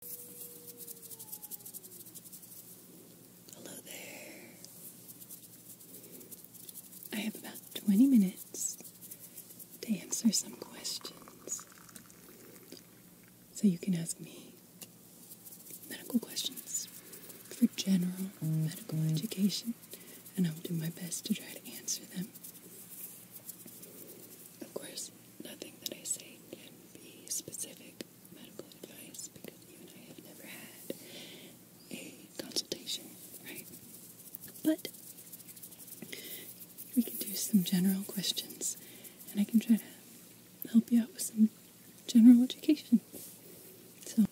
Hello there. I have about 20 minutes to answer some questions. So you can ask me medical questions for general mm, medical education, and I'll do my best to try to answer them. Of course, nothing that I say can be specific medical advice because you and I have never had a consultation, right? But we can do some general questions and I can try to help you out with some general education. So,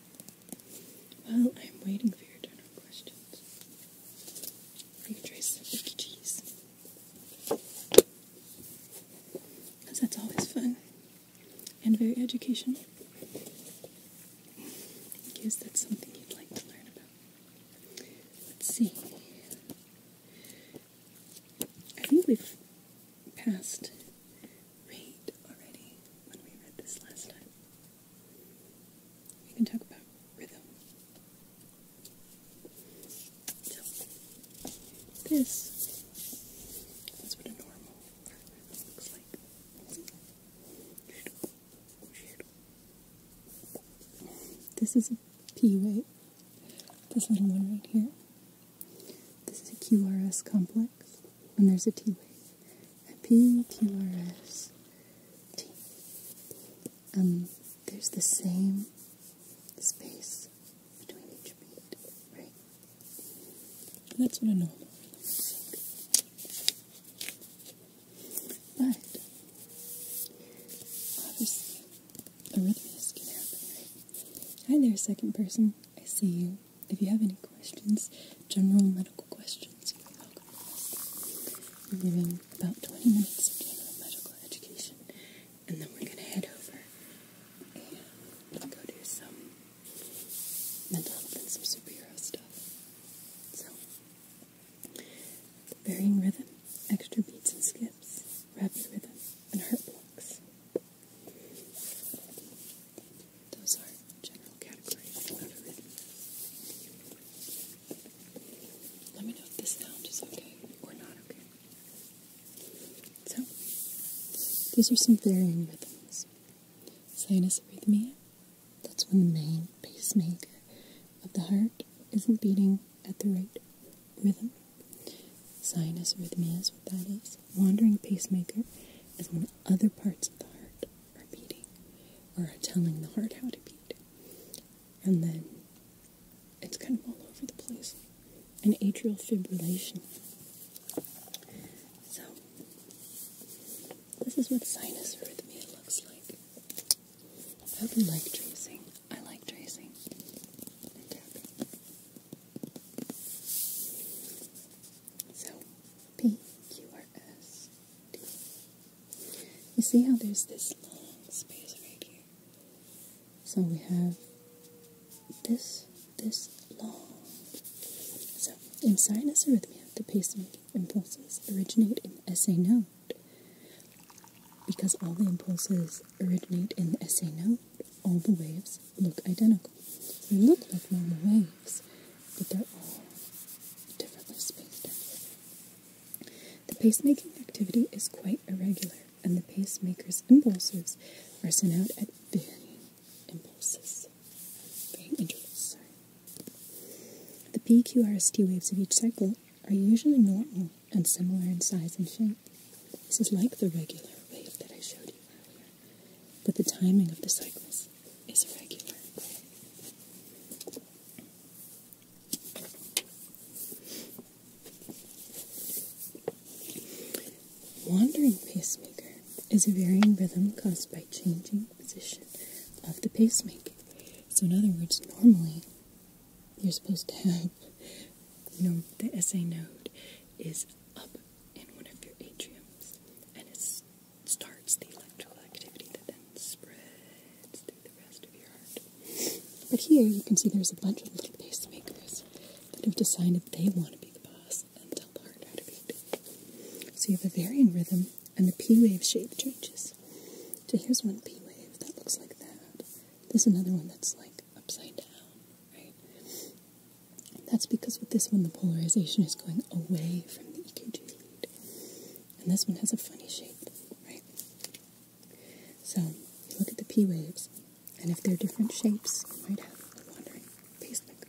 while I'm waiting for your general questions, you can try some cheese. Because that's always fun and very educational. In case that's something you'd like to learn about. Let's see. I think we've passed rate already when we read this last time. We can talk about rhythm this is This is a P wave. This little one right here. This is a QRS complex, and there's a T wave. A P, QRS, T. Um, there's the same space that's what I know. But obviously arrhythmias can happen, Hi there, second person. I see you. If you have any questions, general medical questions, you're welcome to are giving about 20 minutes of general medical education and then we're going to head over and go do some mental health and some superhero stuff. So, varying rhythm, extra beats and skips, rapid rhythm, and heart blocks. Those are general categories of a rhythm. Let me know if this sound is okay or not okay. So, these are some varying rhythms. Sinus arrhythmia, that's when the main pacemaker of the heart isn't beating at the right rhythm. Sinus arrhythmia is what that is. Wandering pacemaker is when other parts of the heart are beating or are telling the heart how to beat. And then it's kind of all over the place. An atrial fibrillation. So, this is what sinus rhythm looks like. I hope you like tracing. I like tracing So, P, Q, R, S, D. You see how there's this long space right here? So we have this, this long. So in sinus arrhythmia, the pacemaking impulses originate in SA node. Because all the impulses originate in the SA node, all the waves look identical. They look like normal waves, but they're all differently spaced The pacemaking activity is quite irregular and the pacemaker's impulses are sent out at varying impulses. Varying intervals, sorry. The PQRST waves of each cycle are usually normal and similar in size and shape. This is like the regular wave that I showed you earlier, but the timing of the cycles is irregular. Wandering pacemaker is a varying rhythm caused by changing position of the pacemaker. So, in other words, normally you're supposed to have, you know, the SA node is up in one of your atriums and it starts the electrical activity that then spreads through the rest of your heart. But here you can see there's a bunch of little pacemakers that have decided they want to be the boss and tell the heart how to beat. So you have a varying rhythm, and the P wave shape changes. So here's one P wave that looks like that. There's another one that's like upside down, right? That's because with this one the polarization is going away from the EKG lead. And this one has a funny shape, right? So look at the P waves, and if they're different shapes, you might have a wandering pacemaker.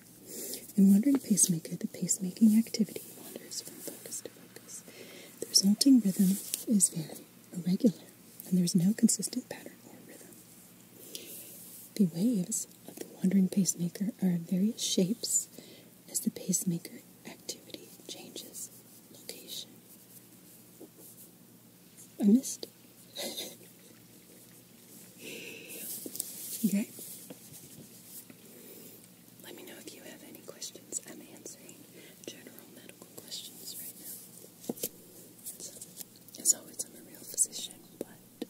In wandering pacemaker, the pacemaking activity wanders from focus to focus. The resulting rhythm is very irregular, and there's no consistent pattern or rhythm. The waves of the wandering pacemaker are in various shapes as the pacemaker activity changes location. I missed okay. Let me know if you have any questions. I'm answering general medical questions right now. as always, I'm a real physician, but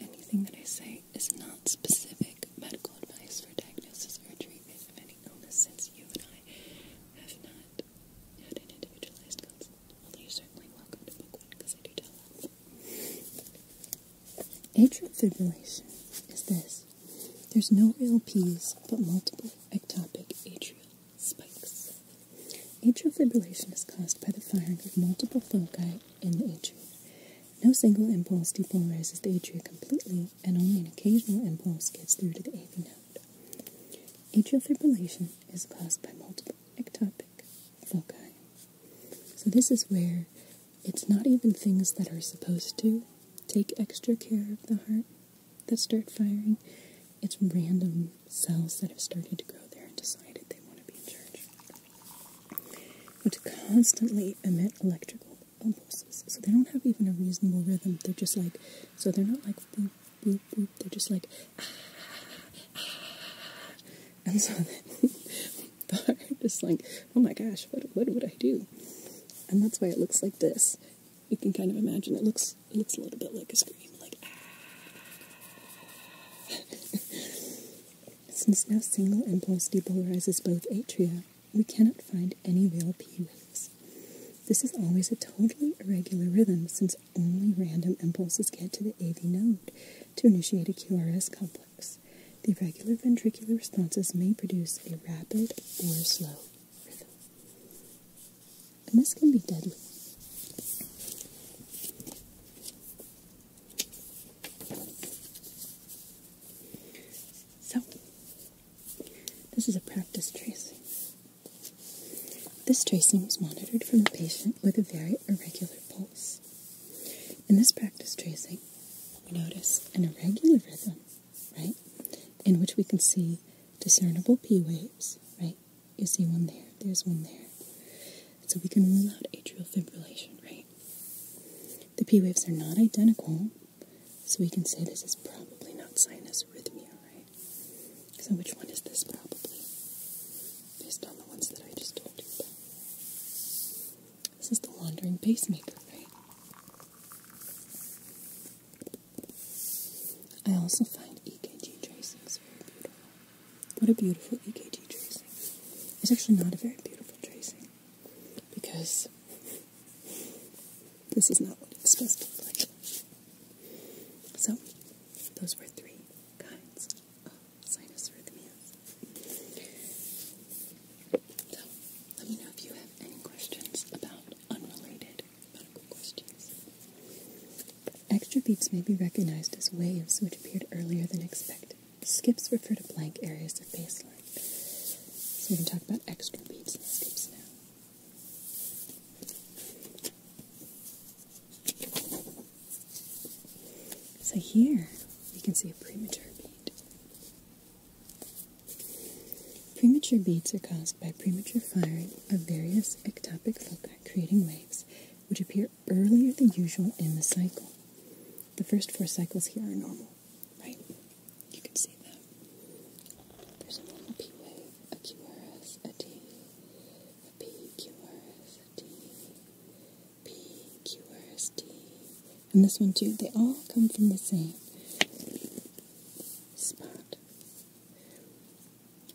anything that I say is not specific medical advice for diagnosis or treatment of any illness since you and I have not not Atrial fibrillation is this. There's no real P's, but multiple ectopic atrial spikes. Atrial fibrillation is caused by the firing of multiple foci in the atrium. No single impulse depolarizes the atria completely, and only an occasional impulse gets through to the AV node. Atrial fibrillation is caused by multiple ectopic foci. So, this is where it's not even things that are supposed to take extra care of the heart that start firing, it's random cells that have started to grow there and decided they want to be in charge, to constantly emit electrical impulses. So, they don't have even a reasonable rhythm. They're just like, so they're not like they're just like, ah, ah. and so then they're just like, oh my gosh, what would I do? And that's why it looks like this. You can kind of imagine it looks looks a little bit like a scream, like ah. Since no single impulse depolarizes both atria, we cannot find any real p waves. This is always a totally irregular rhythm since only random impulses get to the AV node to initiate a QRS complex. The irregular ventricular responses may produce a rapid or slow rhythm. And this can be deadly. So, this is a practice tracing. This tracing was monitored from a patient with a very irregular pulse. In this practice tracing, we notice an irregular rhythm, right, in which we can see discernible P waves, right? You see one there, there's one there. so we can rule out atrial fibrillation, right? The P waves are not identical, so we can say this is probably not sinus rhythmia, right? So which one is this probably? Based on the ones that I just told you This is the wandering pacemaker, right? I also find EKG tracings very beautiful. What a beautiful EKG tracing. It's actually not a very beautiful tracing because this is not what it's supposed to look like. So, those were three kinds of sinus rhythmia. So, let me know if you have any questions about unrelated medical questions. Extra beats may be recognized as waves which appeared earlier than expected. Skips refer to blank areas of baseline. So we can talk about extra beats and skips now. So here you can see a premature beat. Premature beats are caused by premature firing of various ectopic foci, creating waves which appear earlier than usual in the cycle. The first four cycles here are normal, right? You can see that. There's a little P wave a cumulus, a d, a p a d, p cumulus, d, and this one too. They all come from the same spot.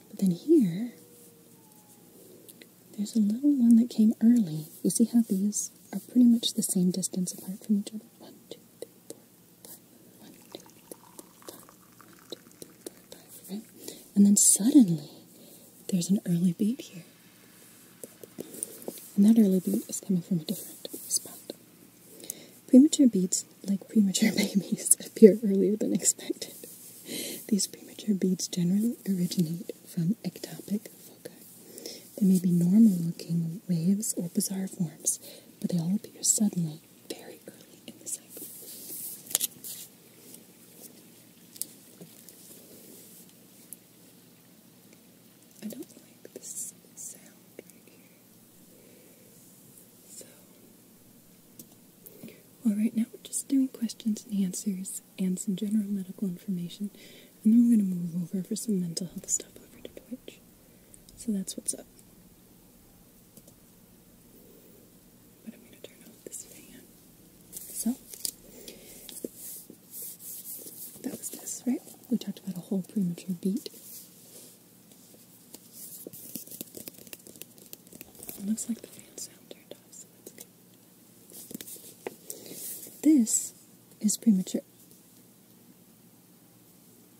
But then here, there's a little one that came early. You see how these are pretty much the same distance apart from each other. One, two, three, four, and then suddenly there's an early beat here. And that early beat is coming from a different spot. Premature beats, like premature babies, appear earlier than expected. These premature beats generally originate from ectopic foci. They may be normal looking waves or bizarre forms, but they all appear suddenly very early in the cycle. I don't like this sound right here. So, well, now we're just doing questions and answers and some general medical information, and then we're going to move over for some mental health stuff over to Twitch. So that's what's up. But I'm going to turn off this fan. So, that was this, right? We talked about a whole premature beat. looks like the fan sound turned off, so that's good. This is premature.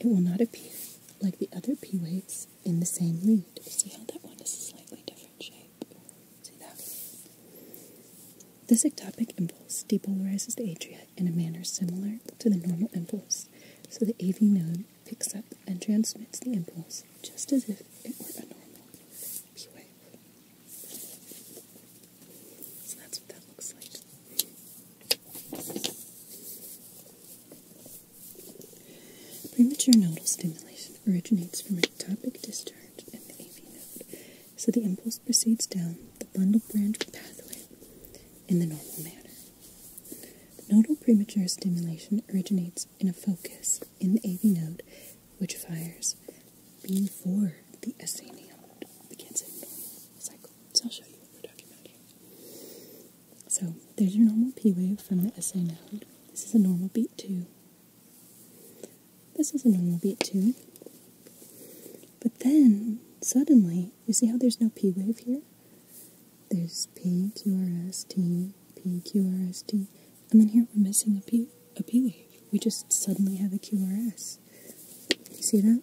it will not appear like the other P waves in the same lead. See how that one is slightly different shape? See that? This ectopic impulse depolarizes the atria in a manner similar to the normal impulse, so the AV node picks up and transmits the impulse just as if it were a normal P wave. So that's what that looks like. Premature nodal stimulation originates from a topic discharge in the AV node, so the impulse proceeds down the bundle branch pathway in the normal manner. nodal premature stimulation originates in a focus in the AV node, which fires before the SA node begins in normal cycle. So I'll show you what we're talking about here. So there's your normal P wave from the SA node. This is a normal beat too. This is a normal beat too. But then, suddenly, you see how there's no P wave here? There's P, Q, R, S, T, P, Q, R, S, T. And then here we're missing a P, a P wave. We just suddenly have a Q, R, S. You see that?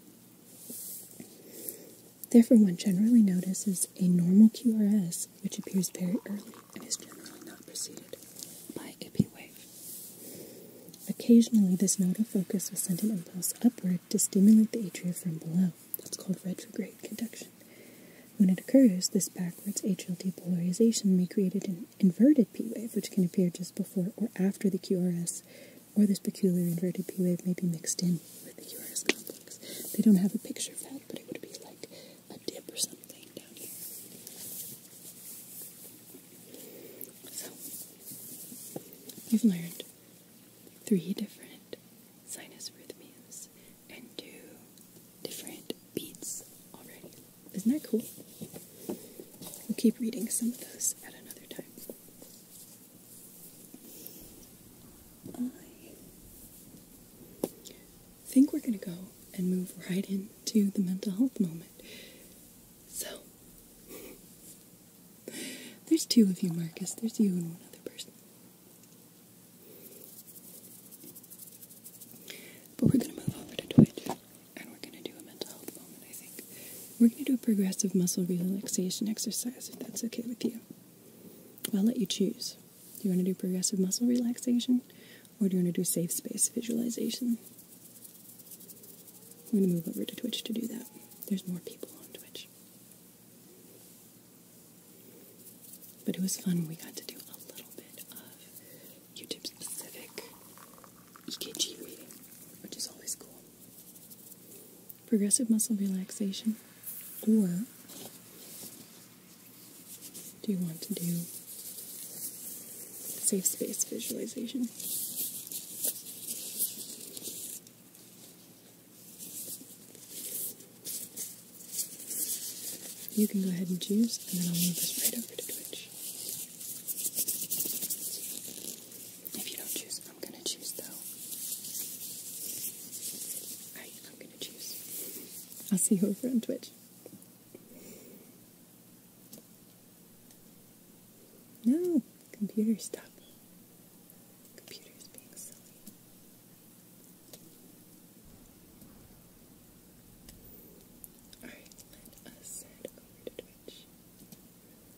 Therefore, one generally notices a normal QRS which appears very early and is generally not preceded by a P wave. Occasionally, this nodal focus will send an impulse upward to stimulate the atria from below. That's called retrograde conduction. When it occurs, this backwards atrial depolarization may create an inverted P wave, which can appear just before or after the QRS or this peculiar inverted P wave may be mixed in with the QRS complex. They don't have a picture of that, but it would be like a dip or something down here. So, you've learned three different sinus rhythmias and two different beats already. Isn't that cool? We'll keep reading some of those at another time. I think we're going to go and move right into the mental health moment. So, there's two of you, Marcus. There's you and one other person. But we're going to move over to Twitch and we're going to do a mental health moment, I think. We're going to do a progressive muscle relaxation exercise if that's okay with you. I'll let you choose. Do you want to do progressive muscle relaxation or do you want to do safe space visualization? I'm going to move over to Twitch to do that. There's more people on Twitch. But it was fun. We got to do a little bit of YouTube specific EKG reading, which is always cool progressive muscle relaxation, or do you want to do safe space visualization? You can go ahead and choose, and then I'll move this right over to Twitch. If you don't choose, I'm gonna choose though. Alright, I'm gonna choose. I'll see you over on Twitch. No, computer stop. Computer's being silly. Alright, let us head over to Twitch.